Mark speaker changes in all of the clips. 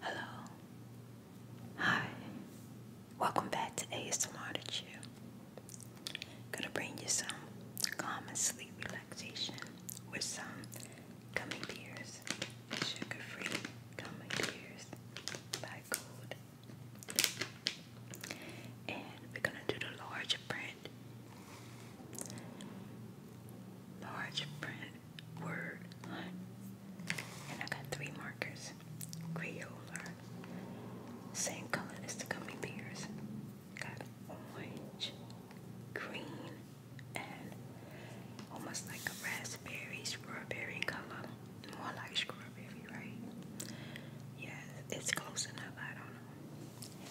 Speaker 1: Hello. Hi. Welcome back to ASMR to Chill. Gonna bring you some calm and sleep relaxation with some gummy bears. Sugar-free gummy bears by Gold. And we're gonna do the large print large print word And I got three markers. Crayola. Same color as the gummy bears. Got orange, green, and almost like a raspberry, strawberry color. More like strawberry, right? Yes, it's close enough, I don't know.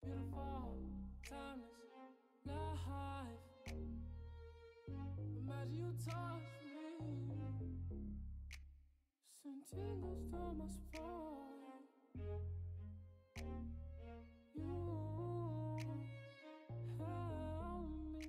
Speaker 1: Beautiful, timeless, life. Imagine you touch me. Sentidos tomas por you. Help me feel alive.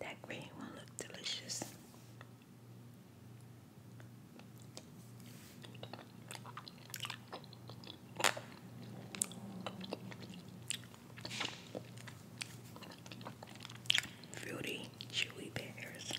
Speaker 1: That green one looked delicious. Fruity chewy pears.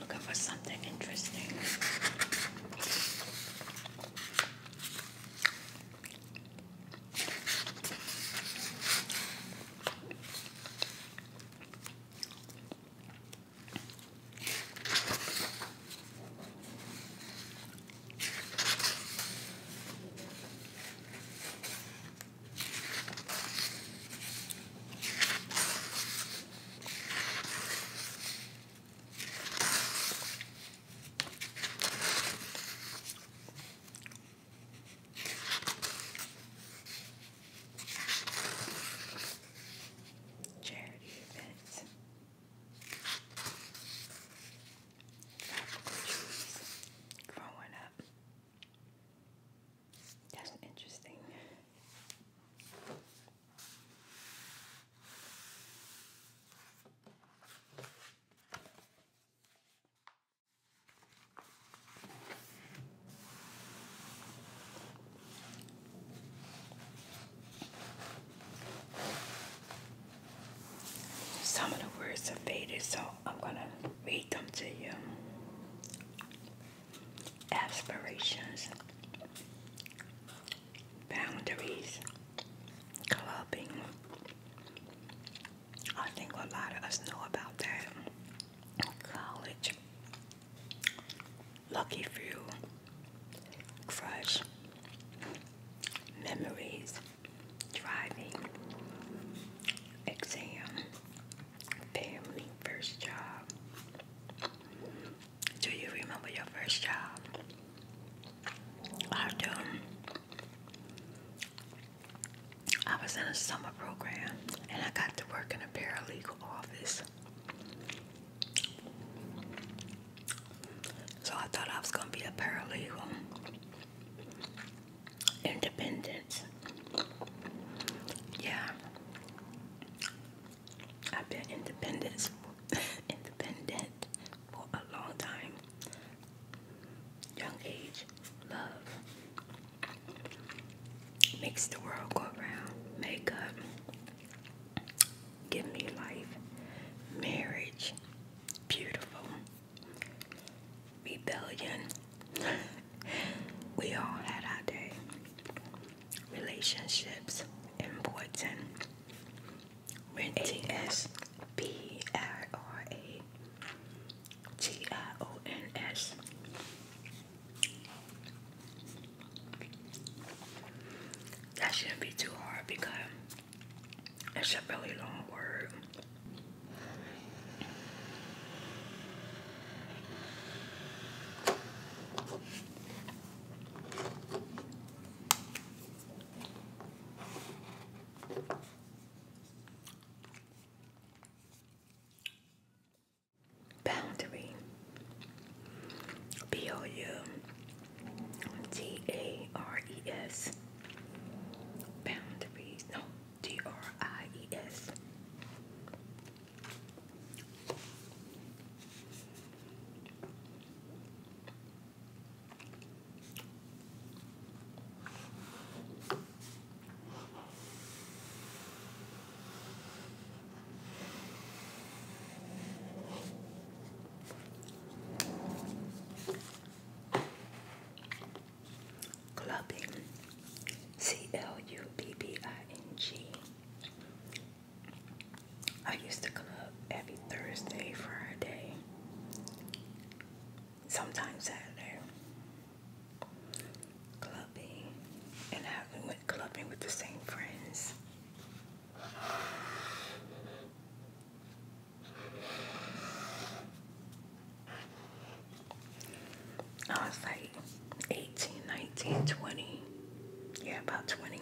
Speaker 1: Looking for something interesting. Charity event tropical trees growing up. That's interesting. Some of the words have faded, so I'm going to read them to you. Aspirations, boundaries, clubbing. I think a lot of us know about that. College, lucky few, crush, memories, driving, exam, family, first job. Do you remember your first job? I do. I was in a summer program and I got to work in a paralegal office. So I thought I was going to be a paralegal, independent. Yeah, I've been independent, independent for a long time. Young age, love makes the world go round. Makeup, Give me life, marriage, beautiful, rebellion. we all had our day. Relationships, important. Renting S P R R A T I O N S. That shouldn't be too hard because it's a really long word. Boundary. B O U T A R E S. Boundaries. No, T R I E S. Clubbing, C L U B B I N G. I used to club every Thursday, Friday, sometimes Saturday. Clubbing, and I went clubbing with the same friends. I was like 18, 19, 20. Yeah, about 20.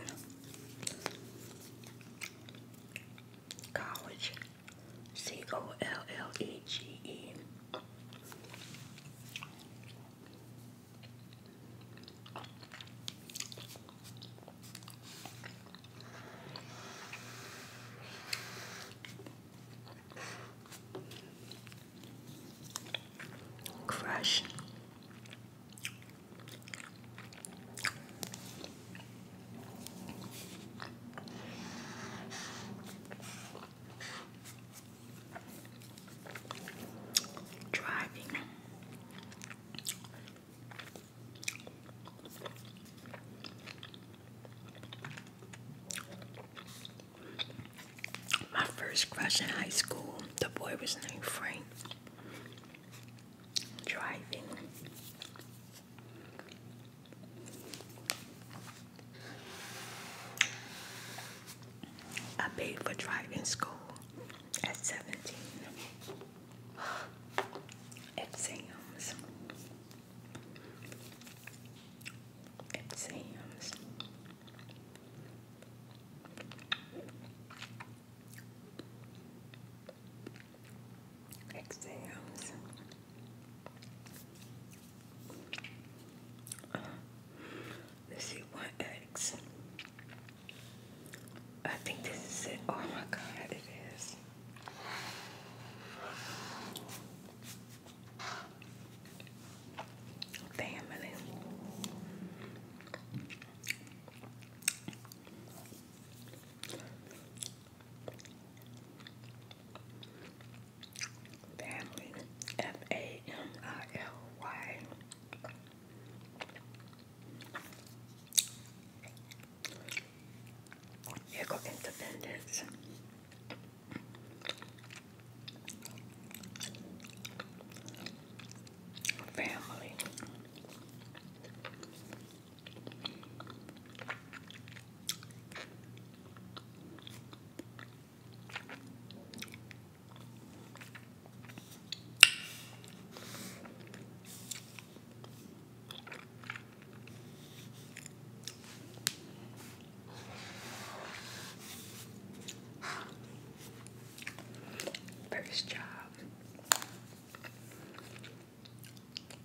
Speaker 1: College. C O L L E G E. Crush. Driving my first crush in high school, the boy was named Frank. Driving. I paid for driving school at 17. Exams. Exams. Exams. Uh, let's see, I think this is it. Oh my god, it is. Family. Family. F A M I L Y. Here go Independence. Family. First job.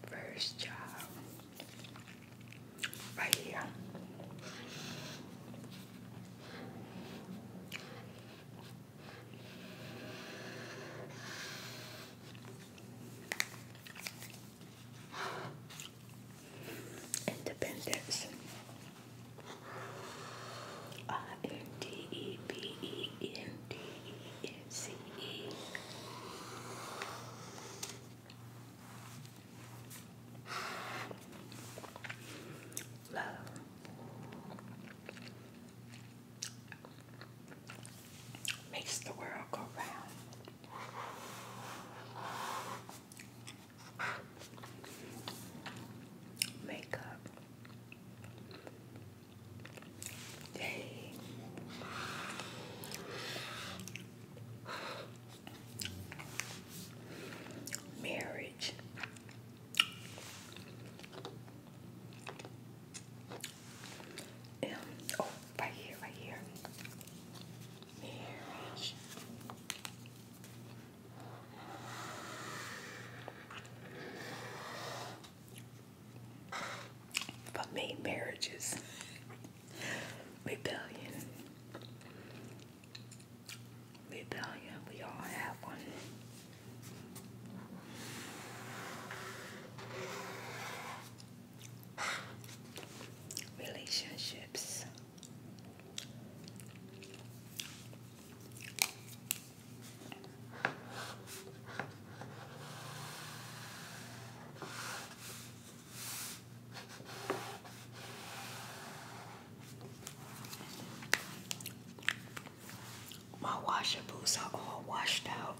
Speaker 1: First job. Right here. Independence. I N D E B E N D E N C E. Love. Makes the world go round. Makeup. Dang. Marriage. M. Oh, right here, right here. Marriage. For me, marriage rebellion. Rebellion, we all have one. Relationships. My washer boots are all washed out.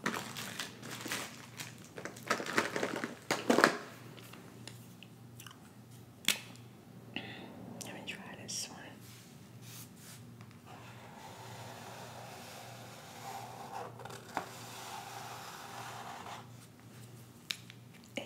Speaker 1: Let me try this one. Hey.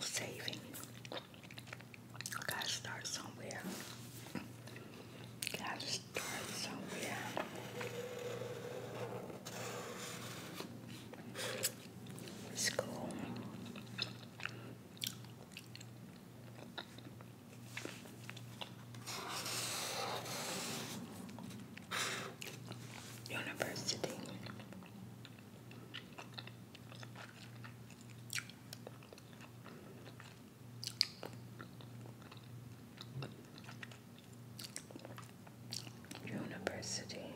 Speaker 1: saving. I gotta start somewhere. Gotta start somewhere. School. University. University.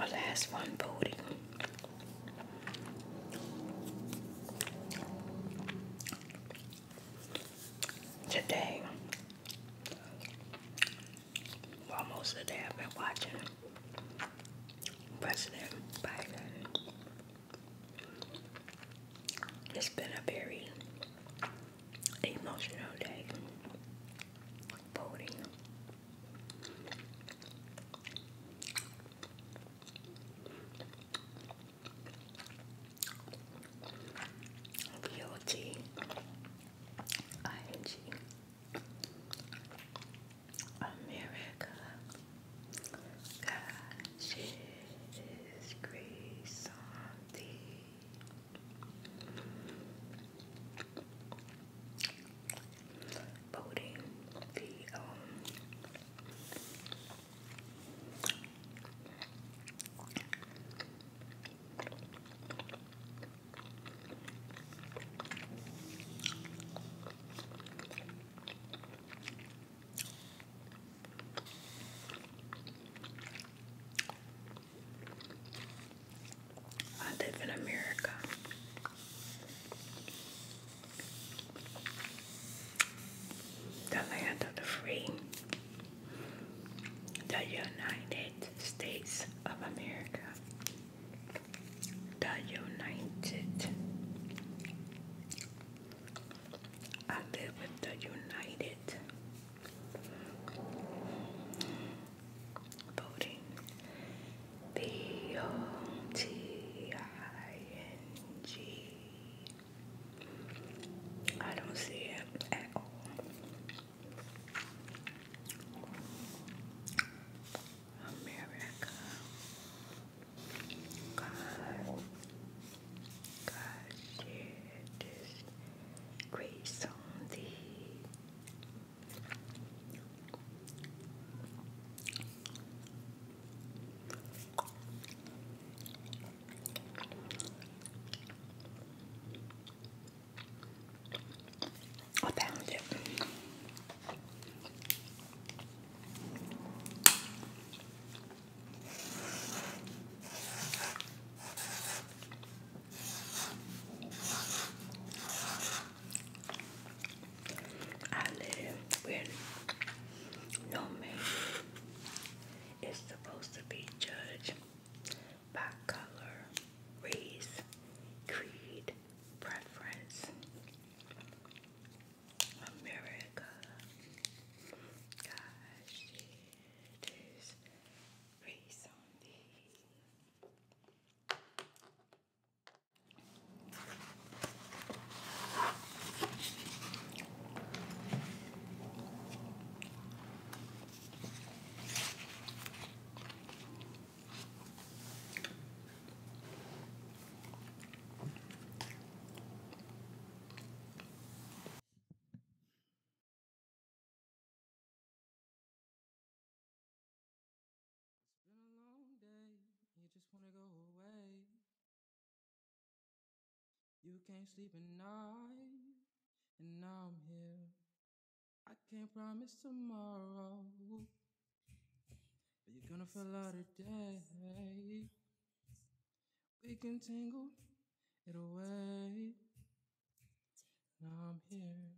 Speaker 1: Our oh, last one voting today, while most of the day I've been watching President Biden. It's been a very emotional day. Voting beauty, ing, America. God's grace on thee. Voting the um, I live in America. The land of the free, the United States of America, the United. I live with the United. Voting. B O T I N G I don't see it at all. America. God. God shed His grace on thee. I found it. I live with no man. It's supposed to be judged by color, race, creed, preference. America. Gosh, it is race it's been a long day. You just wanna go away. You can't sleep at night, and now I'm here. I can't promise tomorrow, but you're gonna fill out a day. We can tingle it away. Now I'm here.